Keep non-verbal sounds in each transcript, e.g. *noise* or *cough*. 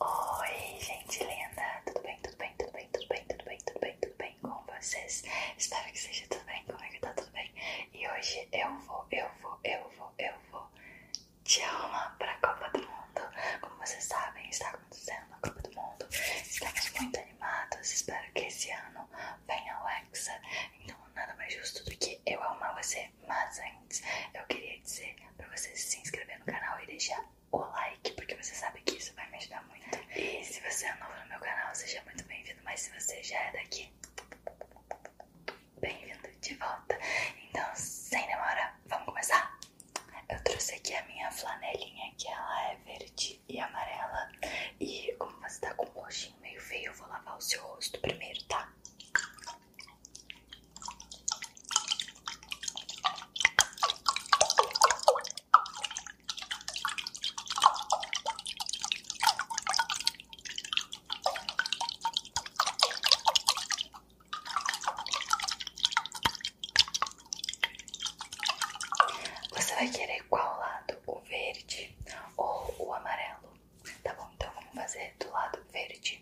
Oi, gente linda! Tudo bem, tudo bem, tudo bem, tudo bem, tudo bem, tudo bem, tudo bem com vocês? Espero que seja tudo bem, como é tá tudo bem? E hoje eu vou, eu vou, eu vou, eu vou te arrumar para a Copa do Mundo. Como vocês sabem, está acontecendo a Copa do Mundo. Estamos muito animados, espero que esse ano venha o Hexa. Então nada mais justo do que eu amar você, mas eu queria dizer pra vocês se inscrever no canal e deixar o like, porque você sabe que isso vai me ajudar muito. E se você é novo no meu canal, seja muito bem-vindo, mas se você já é daqui, bem-vindo de volta. Então, sem demora, vamos começar? Eu trouxe aqui a minha flanelinha, que ela é verde e amarela. E como você tá com um roxinho meio feio, eu vou lavar o seu rosto primeiro, tá? Você vai querer qual lado? O verde ou o amarelo? Tá bom, então vamos fazer do lado verde.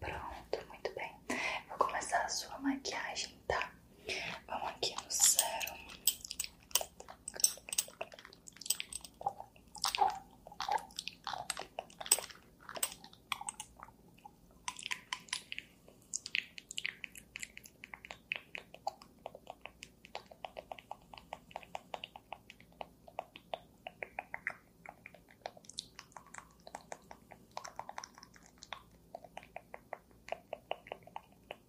Pronto, muito bem. Vou começar a sua maquiagem, tá? Vamos aqui no zero. Pronto,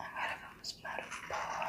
agora vamos para o pó.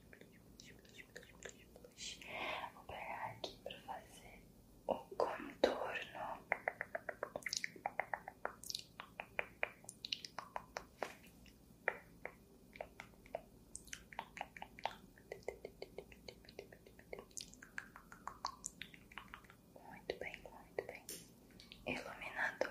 Vou pegar aqui para fazer o contorno. Muito bem, muito bem. Iluminador.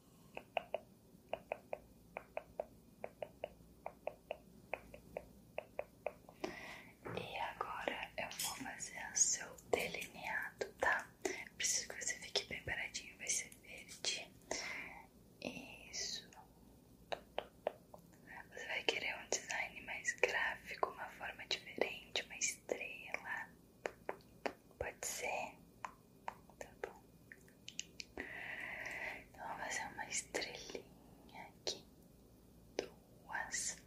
E agora eu vou fazer o seu delineado, tá? Preciso que você fique bem paradinho, vai ser verde. Isso. Você vai querer um design mais gráfico, uma forma diferente, uma estrela. Pode ser? Tá bom. Então, vou fazer uma estrelinha aqui. Duas,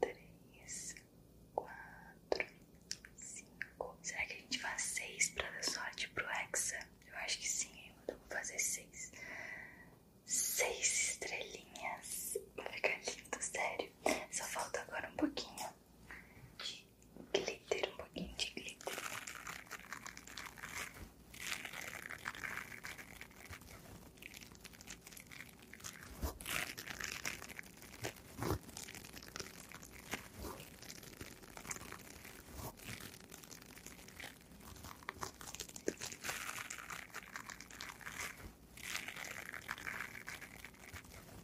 três, quatro, cinco. Será que a gente faz seis pra dar sorte pro Hexa? Eu acho que sim, hein? Então, vou fazer seis. Seis estrelinhas. Vai ficar lindo, sério. Só falta agora um pouquinho de glitter, um pouquinho de glitter.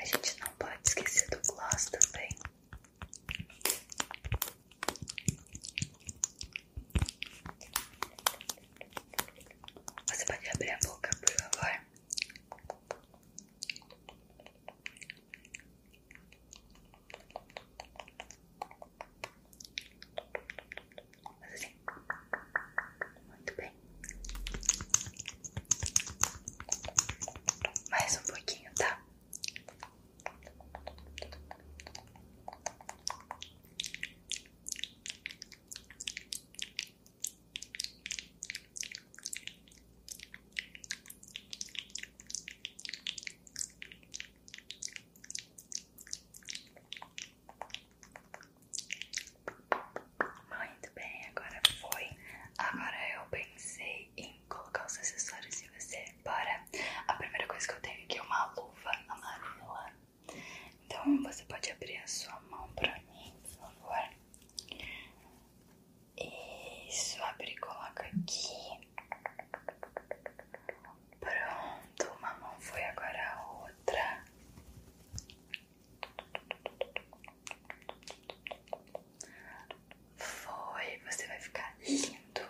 A gente não pode esquecer do gloss também. Você pode abrir a boca, por favor? Mas assim, muito bem. Mais um pouquinho, tá? Muito bem, agora foi. Agora eu pensei em colocar os acessórios em você. Bora! A primeira coisa que eu tenho aqui é uma luva amarela. Então você pode abrir a sua mão pra mim, por favor. Isso, abre e coloca aqui. Pronto, uma mão foi agora a outra. Foi, você vai ficar lindo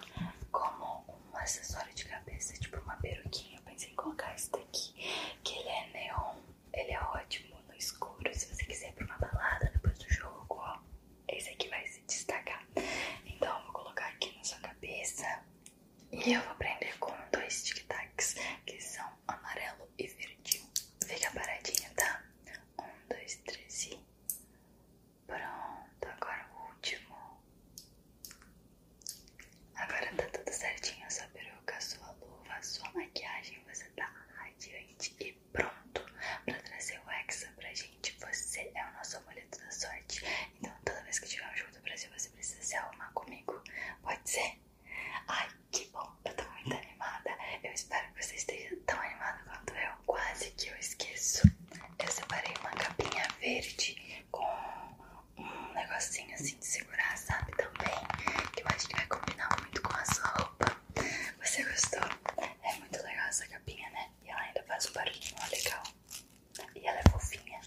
como um acessório de cabeça, tipo uma peruquinha. Eu pensei em colocar esse daqui, que ele é neon, ele é ótimo no escuro. Se você quiser ir pra uma balada depois do jogo, ó esse aqui vai se destacar. Então eu vou colocar aqui na sua cabeça e eu vou prender com dois tic-tacs que são amarelo e verdinho. Fica paradinho, tá? Um, dois, três e. Pronto, agora o último. Agora tá tudo certinho, sua peruca, sua luva, sua maquiagem, você tá radiante e pronto pra trazer o Hexa pra gente você é o nosso amuleto da sorte. Então toda vez que tiver um jogo do Brasil, você precisa se arrumar comigo. Pode ser? Ai, que bom! Eu tô muito animada. Eu espero que você esteja tão animado quanto eu. Quase que eu esqueço. Eu separei uma capinha verde com um negocinho assim de segurar, sabe? Também. Que eu acho que vai combinar muito com a sua roupa. Você gostou? É muito legal essa capinha, né? E ela ainda faz um barulhinho legal. E ela é fofinha.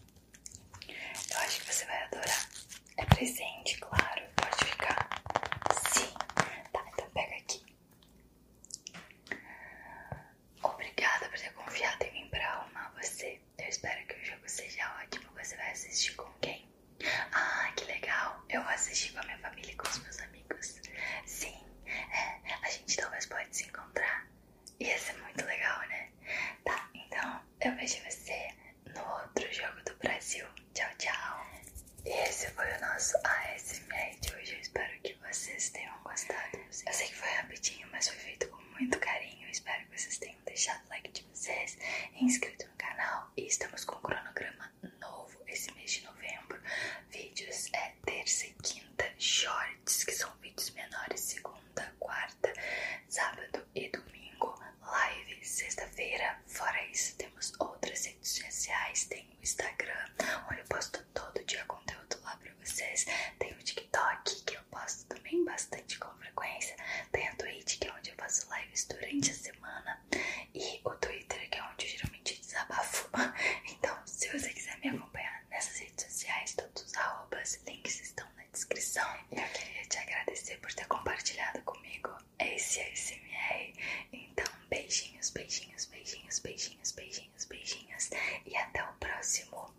Eu acho que você vai adorar. É presente, claro. Pode ficar. Sim. Tá, então pega aqui. Obrigada por ter confiado em mim pra arrumar você. Eu espero que o jogo seja ótimo. Você vai assistir com quem? Ah, que legal. Eu vou assistir com a minha família e com os meus amigos. Sim, é, a gente talvez pode se encontrar Ia ser muito legal, né? Tá, então eu vejo você no outro jogo do Brasil. Tchau, tchau. Esse foi o nosso ASMR de hoje. Eu espero que vocês tenham gostado. Eu sei que foi rapidinho, mas foi feito com muito carinho. espero que vocês tenham deixado o like de vocês, inscrito no canal. E estamos com um cronograma novo esse mês de novembro. Vídeos é terça e quinta, shorts, que são vídeos menores, segunda, quarta, sábado e domingo, live, sexta-feira. Fora isso, temos outras redes sociais, tem o Instagram, onde eu posto todo dia conteúdo lá pra vocês, tem o TikTok, que eu posto também bastante com frequência, tem a Twitch, que é onde eu faço lives durante a semana, e o Twitter, que é onde eu geralmente desabafo. *laughs* Então, se você quiser me acompanhar, nessas redes sociais, todos os arrobas, links estão na descrição. Eu queria te agradecer por ter compartilhado comigo esse ASMR. Então, beijinhos, beijinhos, beijinhos, beijinhos, beijinhos, beijinhos. E até o próximo.